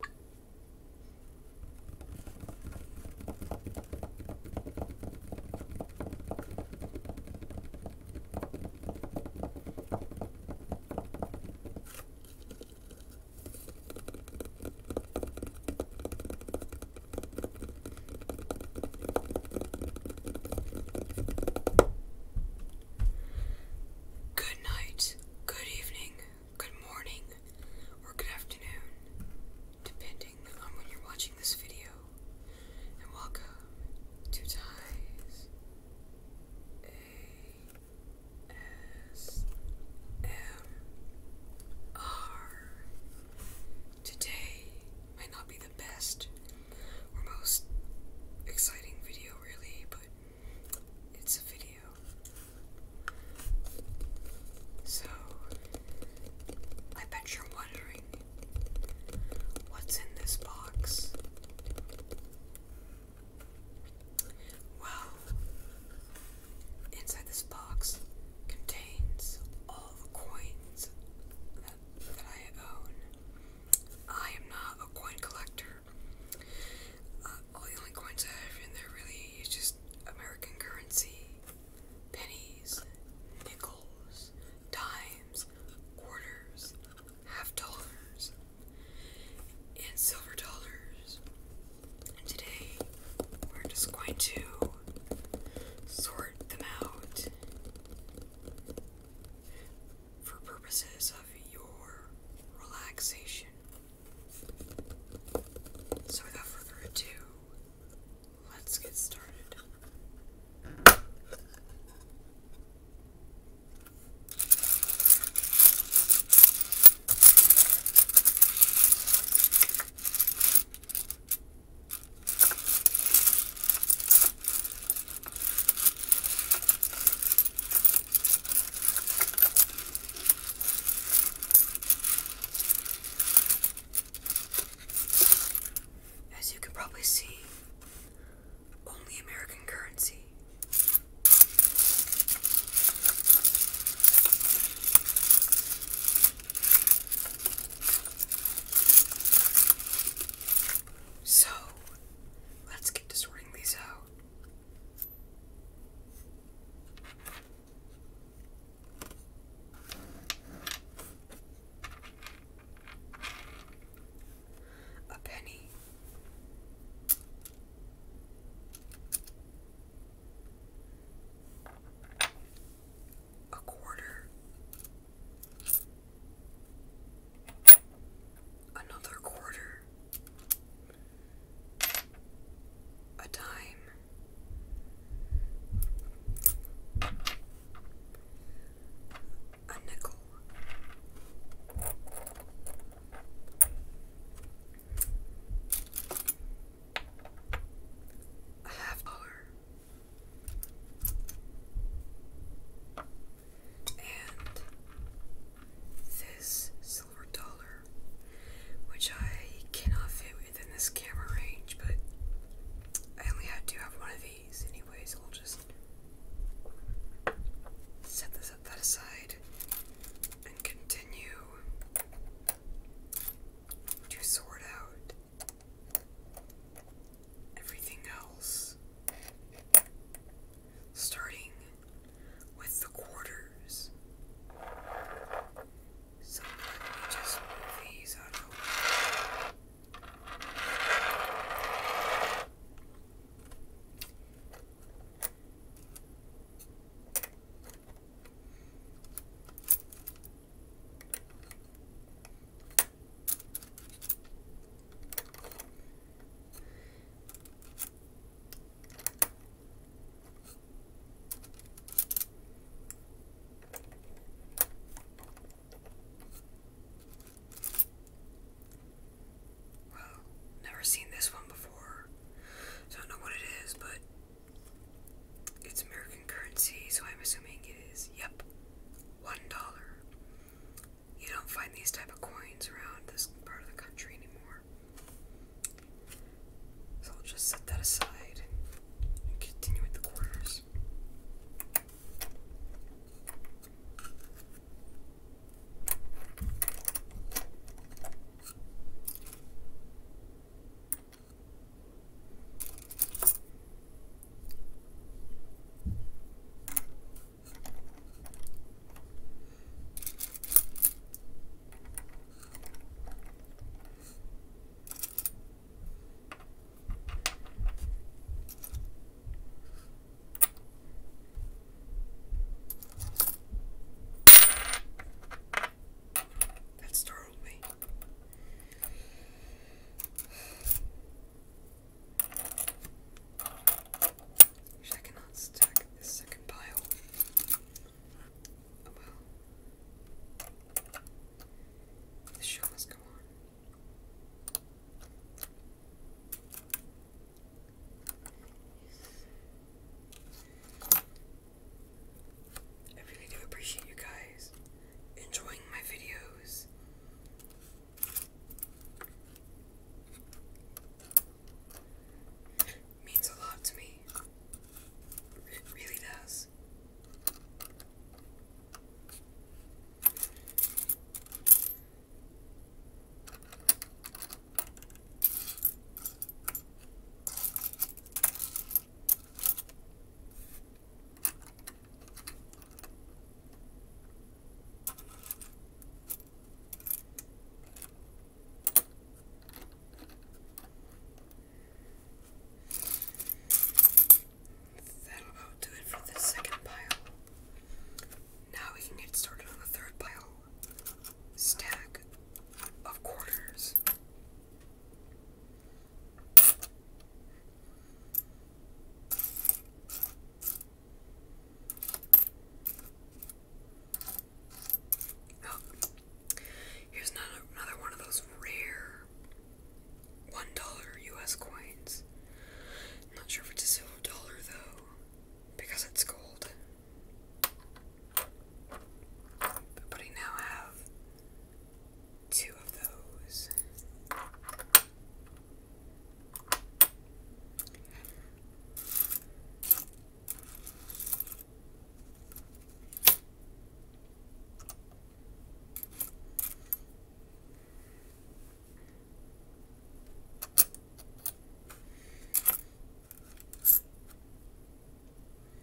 Good night, good evening, good morning, or good afternoon, depending on when you're watching this video. And welcome to Ties ASMR. Today might not be the best or most exciting video, really, but it's a video. So, I bet you're wondering what's in this box. Well, inside this box contains all the coins that, that I own. I am not a coin collector, uh, all the only coins I have in there really is just American currency, pennies, nickels, dimes, quarters, half dollars, and silver dollars. And today we're just going to sort them out for purposes of your relaxation. So, without further ado, let's get started. As you can probably see, only American currency. So, let's get to sorting these out. A penny. A quarter. Another quarter. A dime. A nickel. A half dollar and this silver dollar, which I cannot fit within this camera range, but I only had to have one of these anyways. so I'll just set this up that aside and continue to sort out everything else starting with the quarters. So let me just move these out of the way. Wow, never seen this one before. I don't know what it is, but it's American currency, so I'm assuming it is. Yep, one dollar. You don't find these type of coins around this part of the country anymore. So I'll just set that aside and continue with the quarters. That startled me. Actually, I cannot stack this second pile. Oh, well. The show must go on. I really do appreciate you guys enjoying my videos means a lot to me. It really does. That'll do it for this second pile. Now we can get started on the third pile stack of quarters. Oh. here's another, one of those rare one dollar U.S. coins. not sure if it's a silver dollar though, because it's gold. But I now have two of those.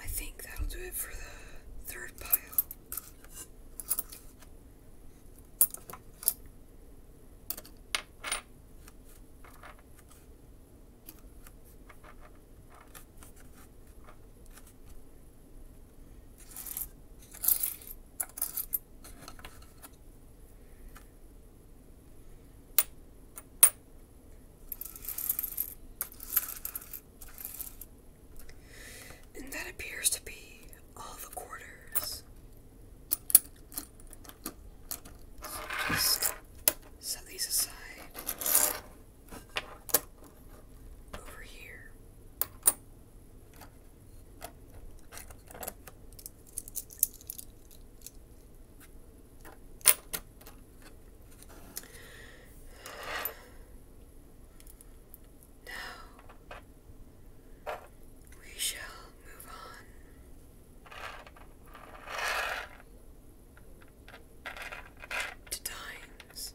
I think that'll do it for the third pile. And that appears to be all the quarters set these aside. Over here. Now we shall move on to times.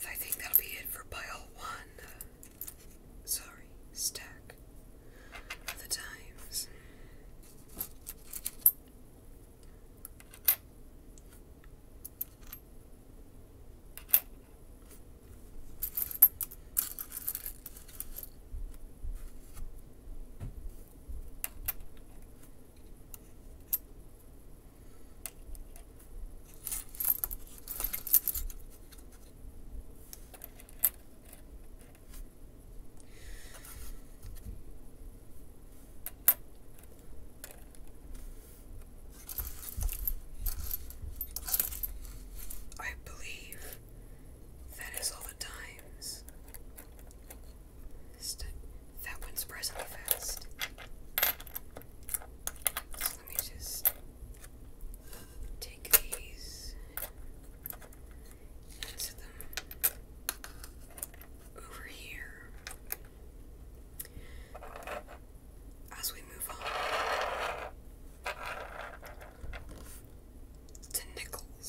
So I think that'll be it for pile one sorry, stack of times. I believe that is all the times. That went surprisingly fast. Let me just take these and them over here. As we move on to nickels.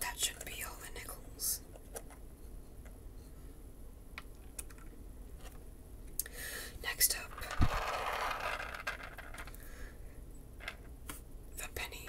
That should be all the nickels. Next up, the penny.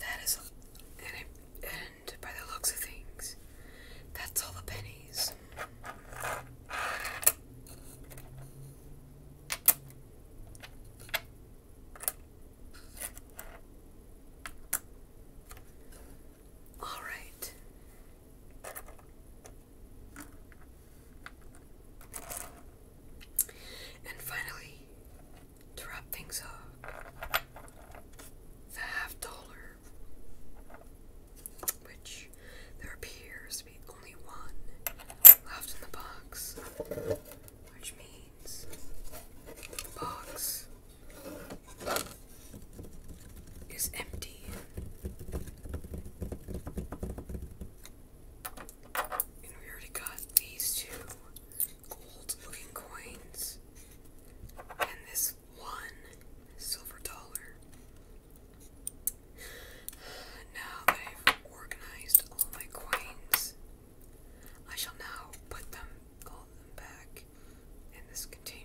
That is, and by the looks of things, that's all the pennies. All right. And finally, to wrap things up, the half dollar, which there appears only one left in the box, which means the box is empty. And we already got these two gold looking coins and this one silver dollar. Now that I've organized all my coins, I shall now put them all them back in this container.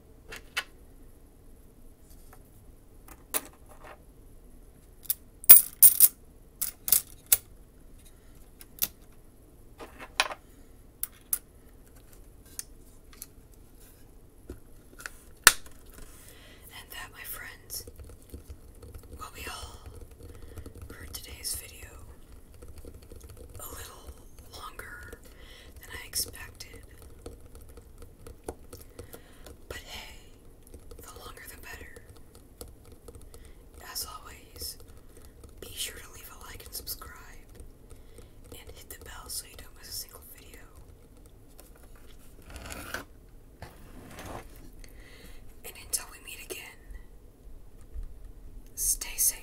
And that, my friends, will be all for today's video. A little longer than I expected. But hey, the longer the better. As always, be sure to leave a like and subscribe, and hit the bell so you don't miss a single video. And until we meet again, stay safe.